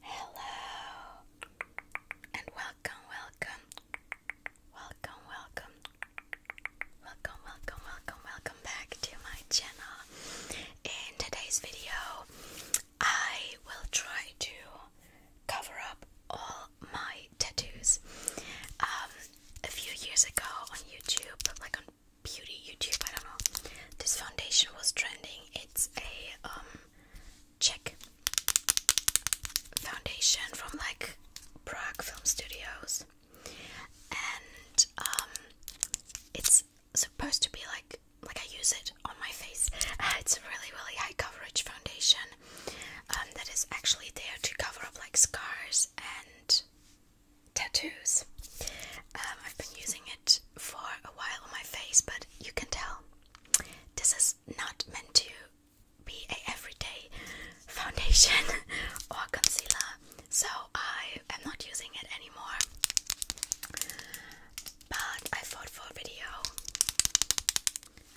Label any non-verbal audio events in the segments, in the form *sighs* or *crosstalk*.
Hello and welcome, welcome, welcome, welcome, welcome, welcome, welcome, welcome back to my channel. In today's video, I will try to cover up all my tattoos. Um, a few years ago on YouTube, like on beauty YouTube, I don't know. This foundation was trending. It's a um Czech foundation from like Prague Film Studios. And um it's supposed to be like like I use it on my face. *laughs* it's a really really high coverage foundation um, that is actually there to cover up like scars and tattoos. Um, I've been using it for a while on my face, but you can tell this is not meant to be a everyday *laughs* foundation *laughs* or concealer, so I am not using it anymore. But I thought for video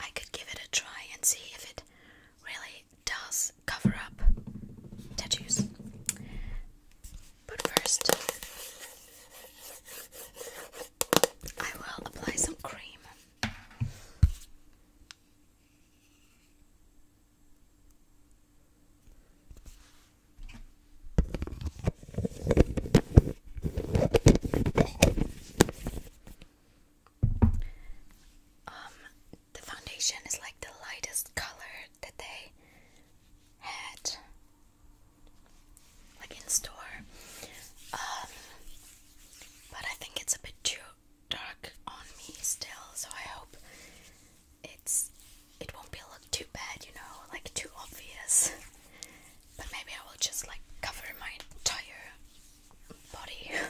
I could give it a try and see if it really does cover up tattoos. But first, I will apply some cream. Um, the foundation is like the lightest color that they had like in store um, but I think it's a bit too dark on me still so I hope it's it won't be look too bad you know like too obvious but maybe I will just like cover my entire body *laughs*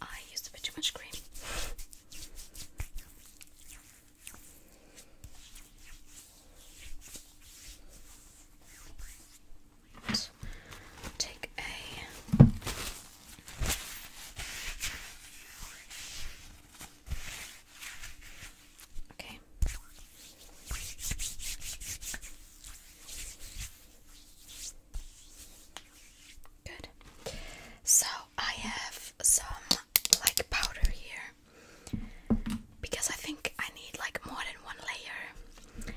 I used a bit too much cream. take a Okay. Good. So I have some like powder here because I think I need like more than one layer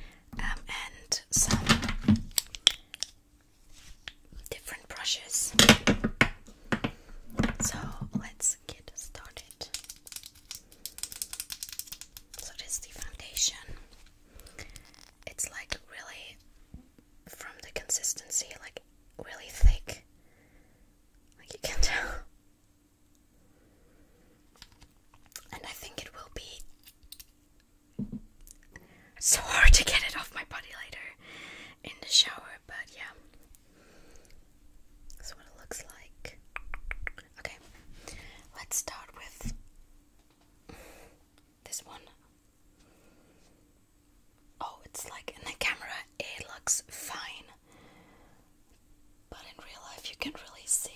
um, and some different brushes. So let's get started. So this is the foundation. It's like really from the consistency, like really thick. Like you can tell. And I think it will be so hard to get it off my body later in the shower, but yeah. That's what it looks like. Okay, let's start with this one. Oh, it's like in the camera, it looks fine, but in real life, you can really see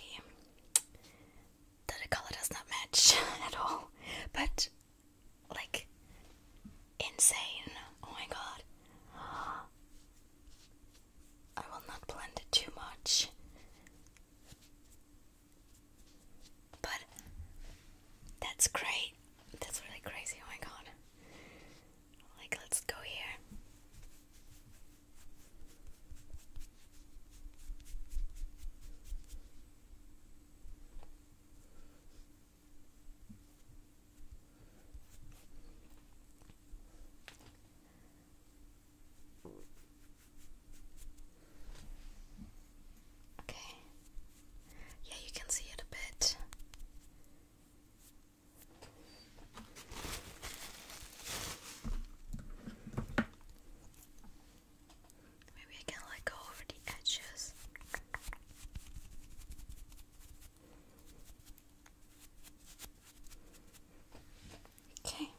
that the color does not match *laughs* at all. But like insane. Oh my god. I will not blend it too much. But that's great. That's really crazy. Oh my god. Like, let's go here. Okay. Yeah, you can see it a bit. Maybe I can like go over the edges. Okay.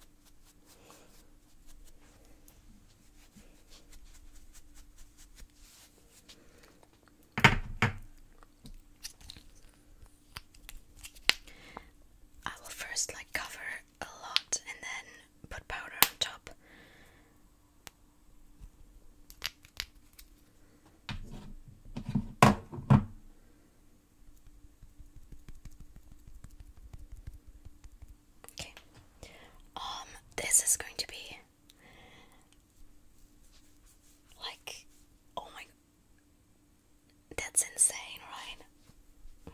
I will first like cover a lot and then put powder on top. Okay. Um this is going to be like oh my that's insane, right?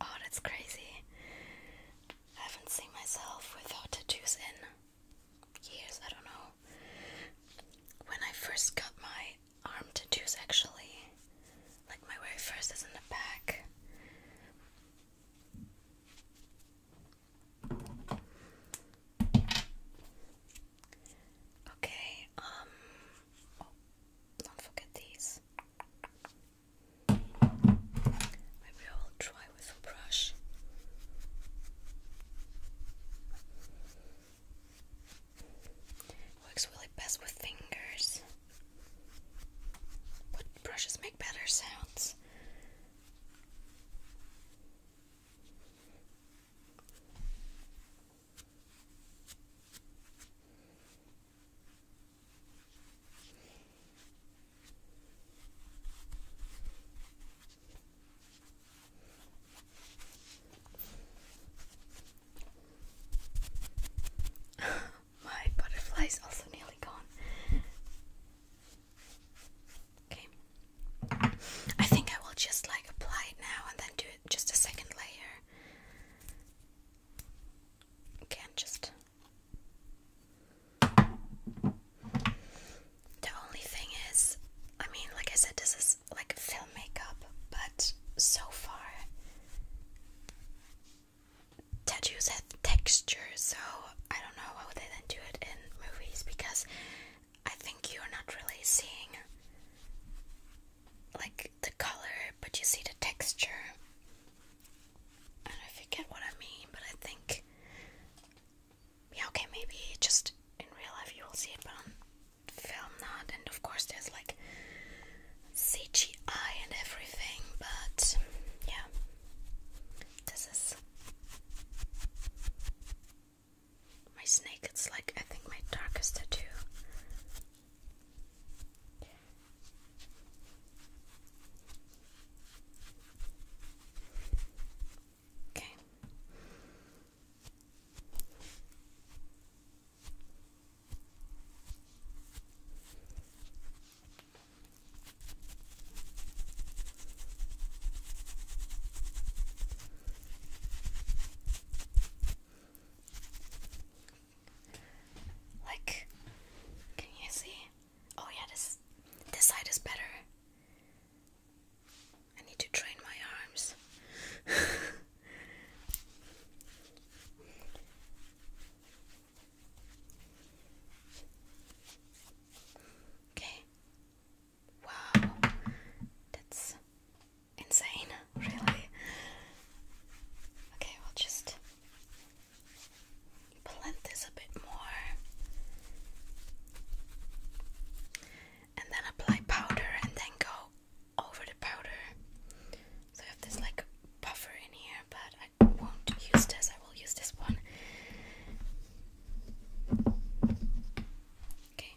Oh, that's crazy. I haven't seen myself without tattoos in years, I don't know. When I first got my arm tattoos, actually, like my very first is in the back. Okay, um, oh, don't forget these. Maybe I will try with a brush. Works really best with fingers, but brushes make better sounds. *laughs* My butterfly is also nearly gone. Okay. I think I will just like apply it now and then do just a second layer. Okay, just the only thing is, I mean, like I said, this is like film makeup, but so far tattoos have texture, so I don't know why would they then do it in movies because I think you're not really seeing like the color, but you see the texture. I don't know if you get what I mean, but I think yeah, okay, maybe just in real life you will see it, but on film not. And of course, there's like CGI and everything, but yeah, this is my snake. It's like I think my darkest tattoo. Okay. Like, can you see? Oh yeah, this this side is better. I need to train my arms. *laughs* okay. Wow. That's insane, *laughs* really. Okay, we'll just blend this a bit more and then apply powder and then go over the powder. So I have this like buffer in here, but I won't use this, I will use this one. Okay.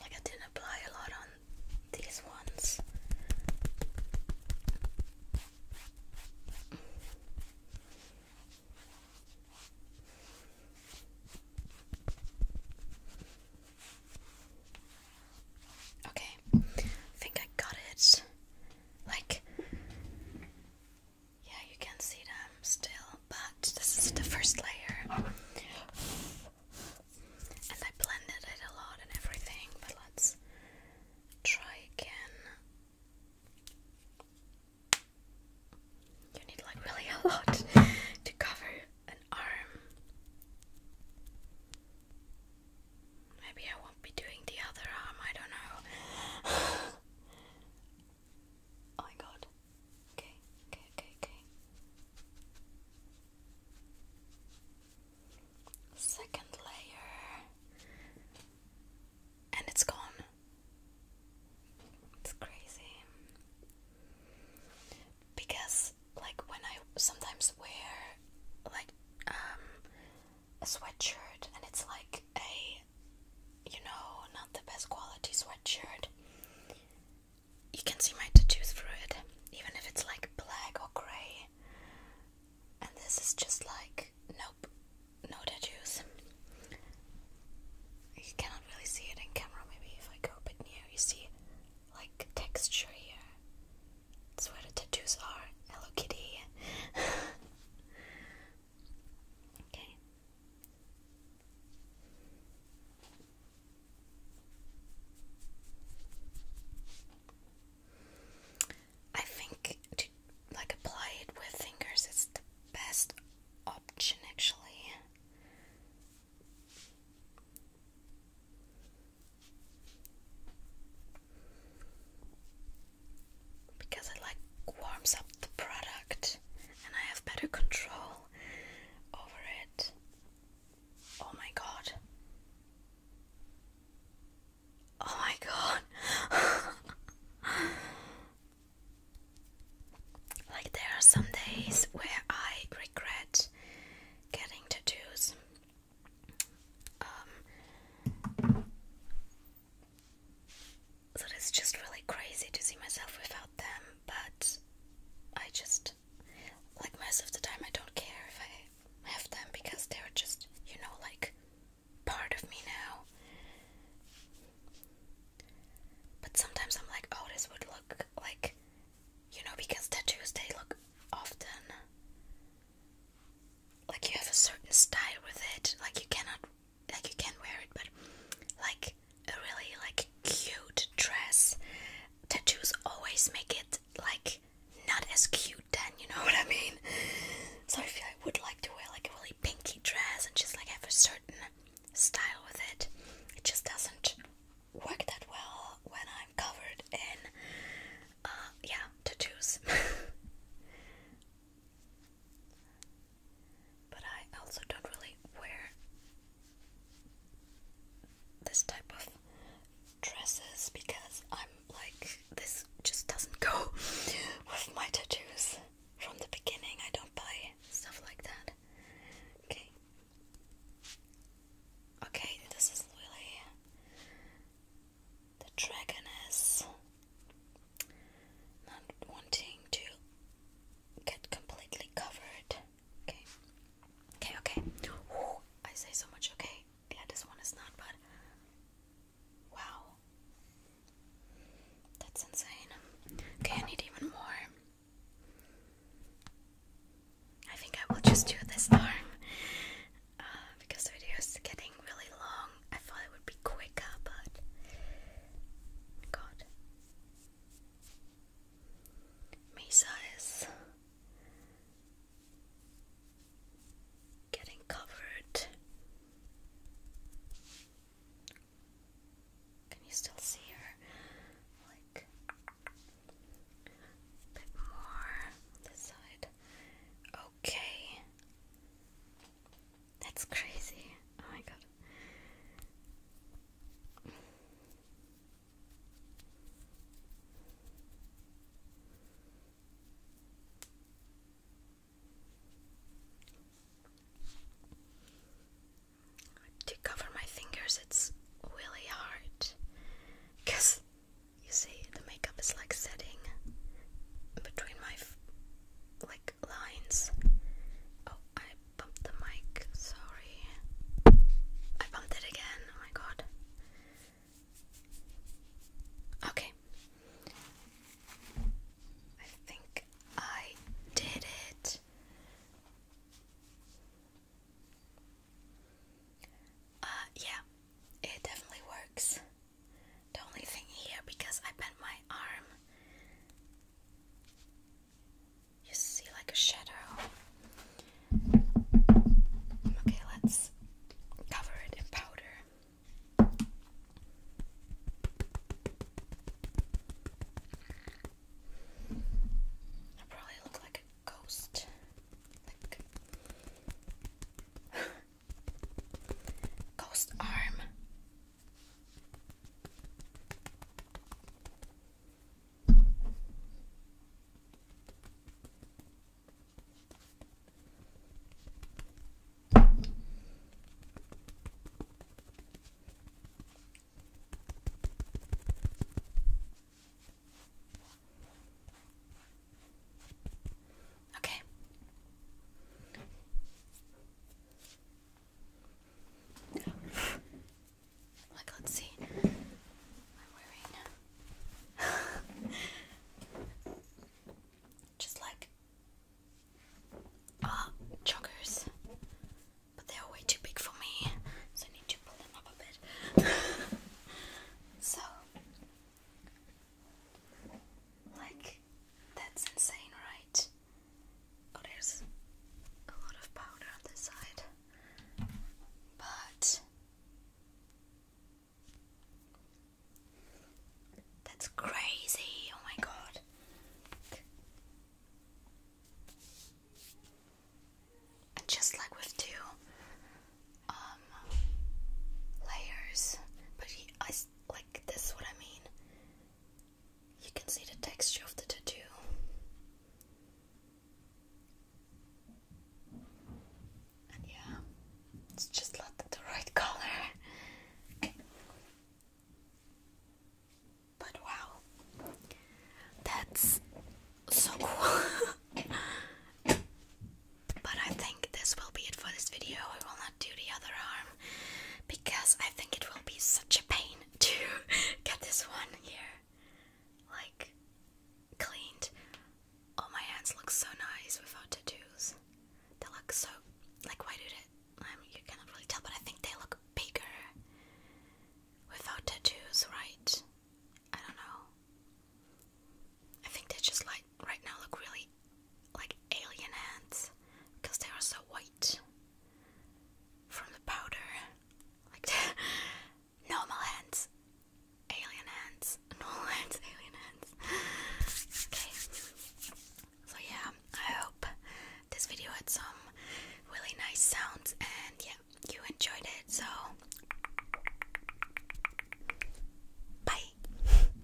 Like I didn't apply a lot on these ones. Okay, I think I got it. Like, yeah, you can see them still, but this is the first layer. And I blended it a lot and everything, but let's try again. You need like really a lot to cover an arm. Maybe I won't be doing the other arm, I don't know. *sighs* oh my god. Okay, okay, okay, okay. Second layer. And it's gone. It's crazy. Because, like, when I sometimes wear, like, um, a sweatshirt and it's like a you know, not the best quality sweatshirt. You can see my tattoos through it, even if it's like black or grey. And this is just like, nope, no tattoos. You cannot really see it in camera, maybe if I go a bit near, you see like texture here. That's where the tattoos are. Hello Kitty. *laughs* okay, I think to like apply it with fingers is the best option actually because it like warms up the product and I have better control over it. Oh my god. Oh my god. *laughs* like, there are some days where I regret getting tattoos. Um, so it's just really crazy to see myself without them, but I just, like, most of the time, I don't care if I have them because they're just, you know, like part of me now. But sometimes I'm like, oh, this would look like, you know, because tattoos they look often like you have a certain style with it, like you cannot like you can wear it, but like a really like cute dress. Tattoos always make it like not as cute then, you know *laughs* what I mean? So I feel I would like to wear like a really pinky dress and just like have a certain style with it. It just doesn't work that well when I'm covered in uh yeah, tattoos. *laughs* But I also don't really wear this type of dresses because I'm like, this just doesn't go *laughs* with my tattoos. From the beginning, I don't buy stuff like that. Okay. Okay, this is really. The dragon not wanting to get completely covered. Okay, okay, okay. I say so much. Okay, yeah, this one is not bad. Wow, that's insane. Okay, I need even more. I think I will just do this arm uh, because the video is getting really long I thought it would be quicker, but God. Mesa is getting covered. Can you still see her? Like a bit more this side. Okay. That's crazy. Oh my god. To cover my fingers, it's really hard. Because, you see, the makeup is like setting between my, like, lines. Oh, I bumped the mic, sorry. I bumped it again, oh my god. Okay. I think I did it. Uh, yeah, it definitely works. The only thing here, because I bent my arm, you see like a shadow. Okay, let's cover it in powder. I probably look like a ghost. Ghost arm. Okay. Like, let's see. I'm wearing *laughs* just like uh, joggers, but they are way too big for me, so I need to pull them up a bit. *laughs* so like, that's insane, right? Oh, there's a lot of powder on this side. But that's crazy. Oh my god. And just like with two um, layers, but he, I this like this what I mean. You can see the texture of the tattoo. And yeah, it's just not the right color. But wow, that's so cool. *laughs* but I think this will be it for this video do the other arm because I think it will be such a pain *laughs* to get this one here like cleaned. Oh, my hands look so nice without tattoos. They look so like why do they? I you cannot really tell, but I think they look bigger without tattoos, right? I don't know. I think they just like right now look really like alien hands because they are so white from the powder. Like *laughs* normal hands, alien hands, *laughs* normal ants, alien ants. okay. So yeah, I hope this video had some really nice sounds and yeah, you enjoyed it. So bye.